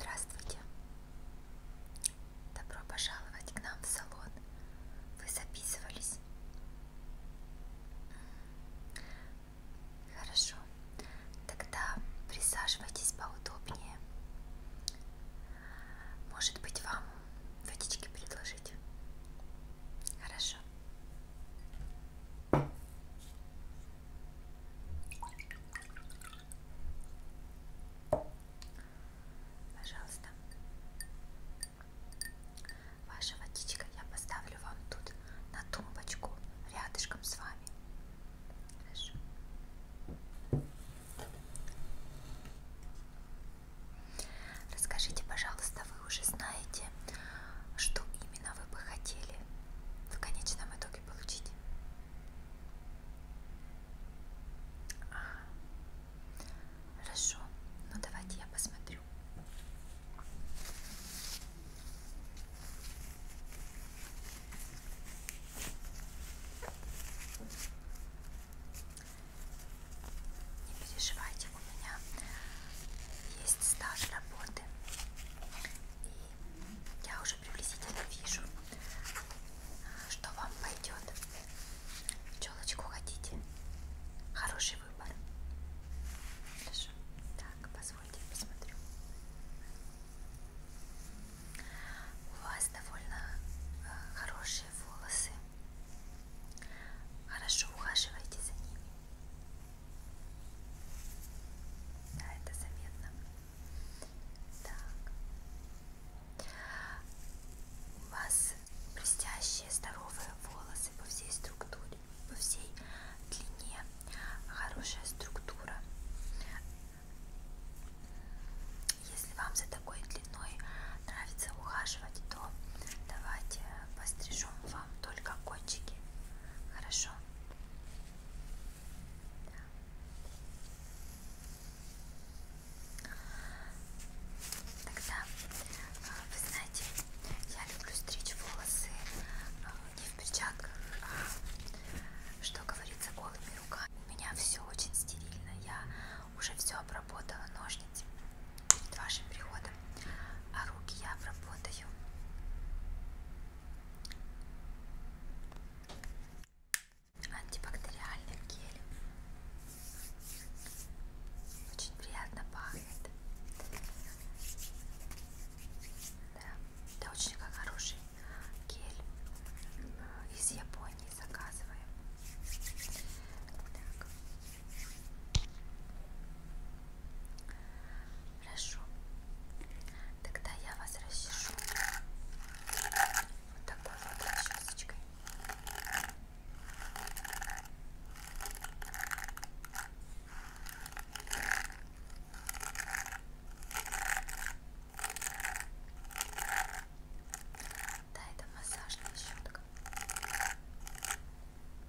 Здравствуйте! Добро пожаловать к нам в салон. Вы записывались? Хорошо. Тогда присаживайтесь поудобнее. Может быть, вам водички предложить? Хорошо. Пожалуйста. Ваша водичка я поставлю вам тут на тумбочку рядышком с вами. Хорошо. Расскажите, пожалуйста, вы уже знаете, что именно вы бы хотели в конечном итоге могли получить. А, хорошо, ну давайте я посмотрю. Не переживайте, у меня есть стаж работы. И я уже приблизительно вижу, что вам пойдет. Челочку хотите? Хороший выбор. Хорошо. Так, позвольте, я посмотрю. У вас довольно э, хорошие волосы. Хорошо ухаживайте за ними. Да, это заметно. Так. У вас блестящие, здоровые волосы по всей структуре, по всей длине. Хорошая структура. Если вам за такой длиной нравится ухаживать, то давайте пострижем вам только кончики. Хорошо? Тогда, а, вы знаете, я люблю стричь волосы а, не в перчатках, а, что говорится, голыми руками. У меня все очень стерильно, я уже все обработала ножницами перед вашим приходом, а руки я обработаю Антибактериальный гель. Очень приятно пахнет. Да, это очень хороший гель. Э, из Японии заказываем. Так. Хорошо. Тогда я вас расчешу вот такой вот расчесочкой. Да, это массажная щетка.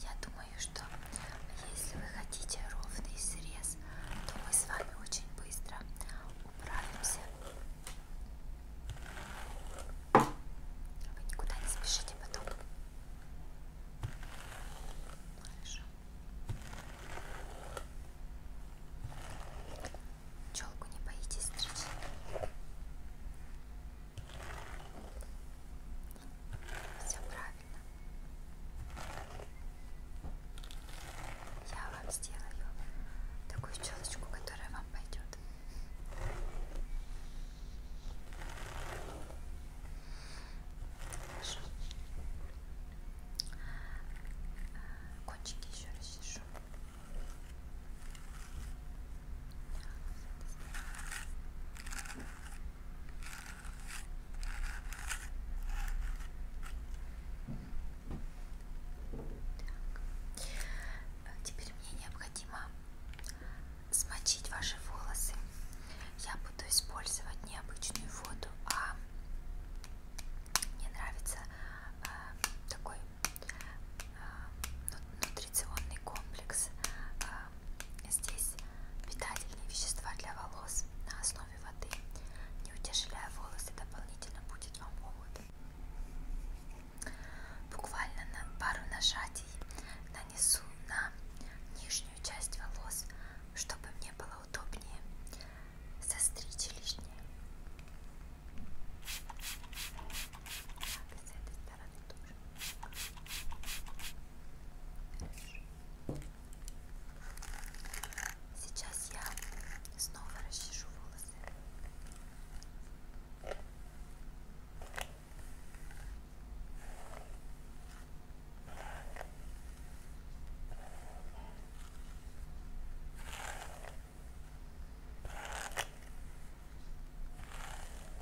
Я думаю, что если вы хотите ровный срез, то мы с вами очень быстро управимся. Вы никуда не спешите потом. Хорошо. Челку не боитесь стричь? Все правильно. Я вам сделаю такую щелочку, которая вам пойдет. Хорошо. А, кончики еще расчешу. Хорошо. Так. Теперь мне необходимо смочить ваши волосы. Я буду использовать необычную воду, а мне нравится э, такой э, нутриционный комплекс э, Э, здесь питательные вещества для волос на основе воды. Не утяжеляя волосы, дополнительно будет вам холод. Буквально на пару нажатий нанесу на нижнюю часть волос, чтобы мне было удобнее состричь лишнее. Так, с этой стороны тоже. Сейчас я снова расчешу волосы.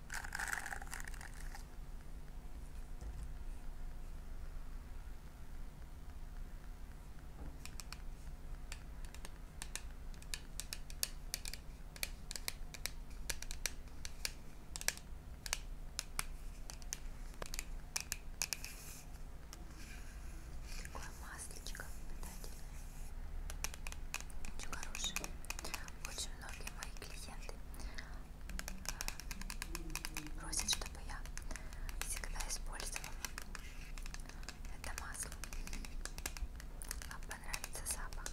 Такое маслечко питательное. Очень хорошее. Очень многие мои клиенты просит, чтобы я всегда использовала это масло. Вам понравится запах.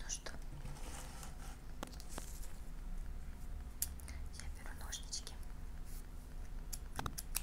Ну что, я беру ножнички. Поехали.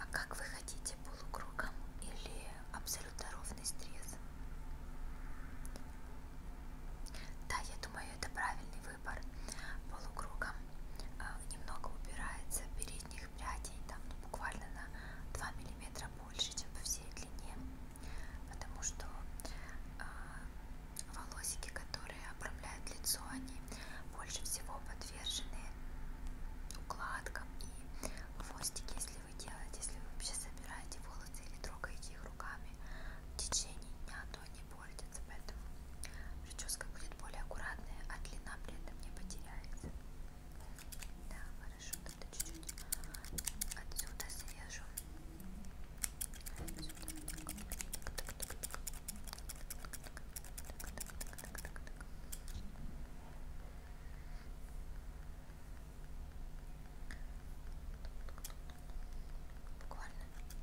А как вы хотите, полукругом или абсолютно ровный срез? Да, я думаю, это правильный выбор. Полукругом э, немного убирается передних прядей, там ну, буквально на 2 мм больше, чем по всей длине потому что а, волосики, которые обрамляют лицо, они больше всего подвержены укладкам и хвостики, если вы делаете, если вы вообще собираете волосы или трогаете их руками в течение дня, то они портятся, поэтому прическа будет более аккуратная, а длина при этом не потеряется. Да, хорошо надо чуть-чуть отсюда свежу. Отсюда. Так, так, так, так. Так, так, так, так, так, так. Буквально. Так,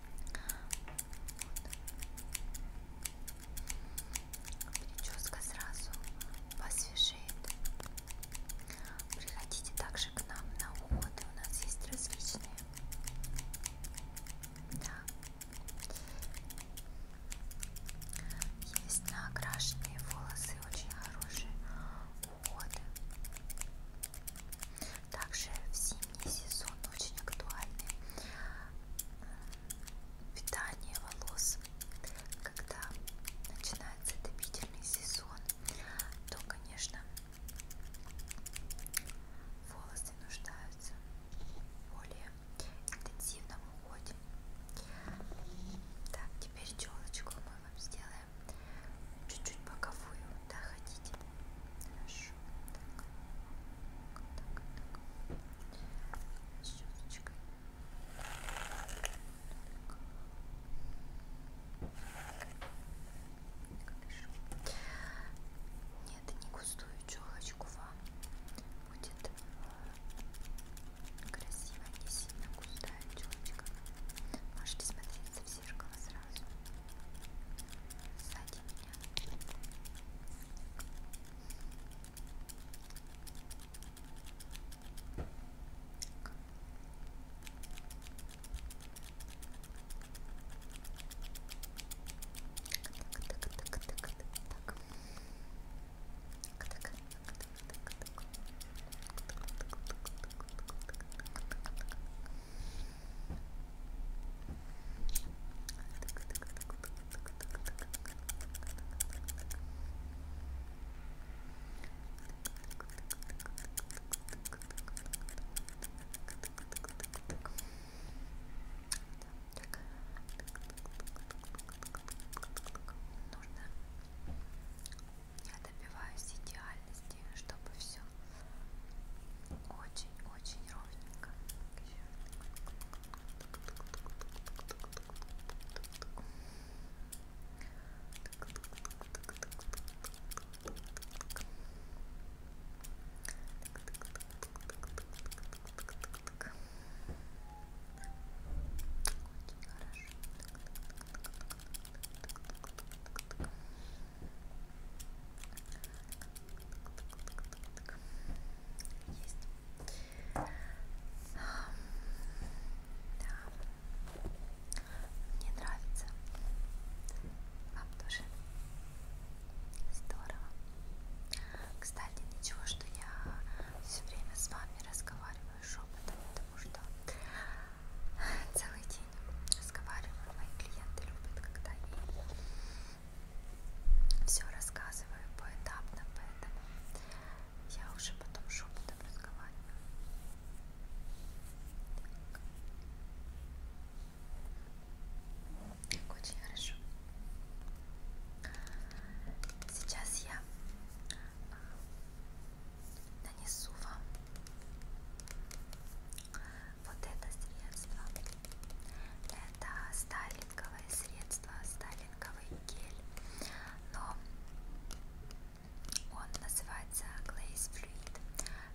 Вот. Прическа сразу посвежеет. Приходите также к нам на уходы. У нас есть различные. Да. Есть накрашенные волосы, очень хорошие уходы. Также в зимний сезон очень актуальны э, питание волос. Когда начинается отопительный сезон, то, конечно, волосы нуждаются в более интенсивном уходе. Так, теперь челочку мы вам сделаем чуть-чуть боковую, да, хотите? Хорошо так, так, так. Щеточкой. Хорошо. Нет, не густую челочку вам будет красиво, не сильно густая челочка. Можете смотреть совсем зеркало сразу сзади меня. Так, Нужно. Я добиваюсь идеальности везде, чтобы все очень-очень ровненько. Очень хорошо. Есть. Да. Мне нравится. Вам тоже. Здорово. Кстати, ничего, что я все время с вами разговариваю шепотом, потому что целый день разговариваю. Мои клиенты любят, когда я им все рассказываю поэтапно, поэтому я уже потом шепотом разговариваю. Так. Очень хорошо. Сейчас я а, нанесу вам вот это средство. Это стайлинговое средство, стайлинговый гель, но он называется Glaze Fluid,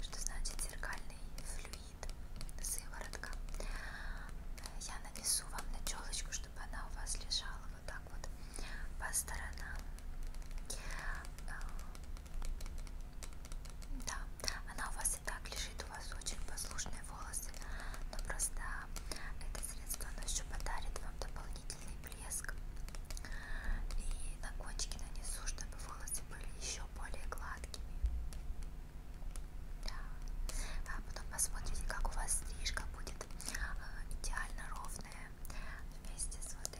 что значит зеркальный флюид, сыворотка. Я нанесу вам на челочку, чтобы она у вас лежала вот так вот по сторонам. Да, она у вас и так лежит, у вас очень послушные волосы, но просто это средство оно еще подарит вам дополнительный блеск и на кончики нанесу, чтобы волосы были еще более гладкими. Да. А потом посмотрите, как у вас стрижка будет а, идеально ровная вместе с вот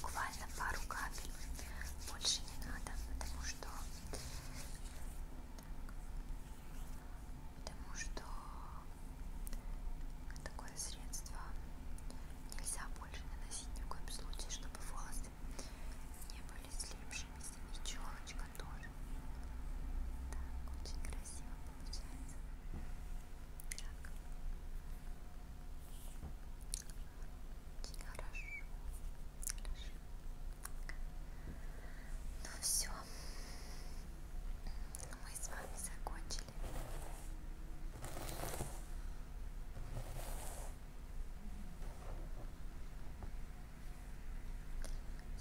буквально пару капель больше не надо потому что потому что такое средство нельзя больше наносить ни в коем случае чтобы волосы не были слипшимися и челочка тоже так очень красиво получается очень хорошо. Хорошо. Ну все. Мы с вами закончили.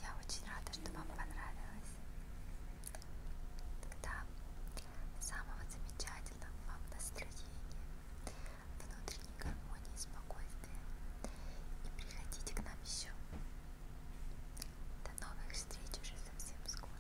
Я очень рада, что вам понравилось. Тогда самого замечательного вам настроения, внутренней гармонии и спокойствия. И приходите к нам еще. До новых встреч уже совсем скоро.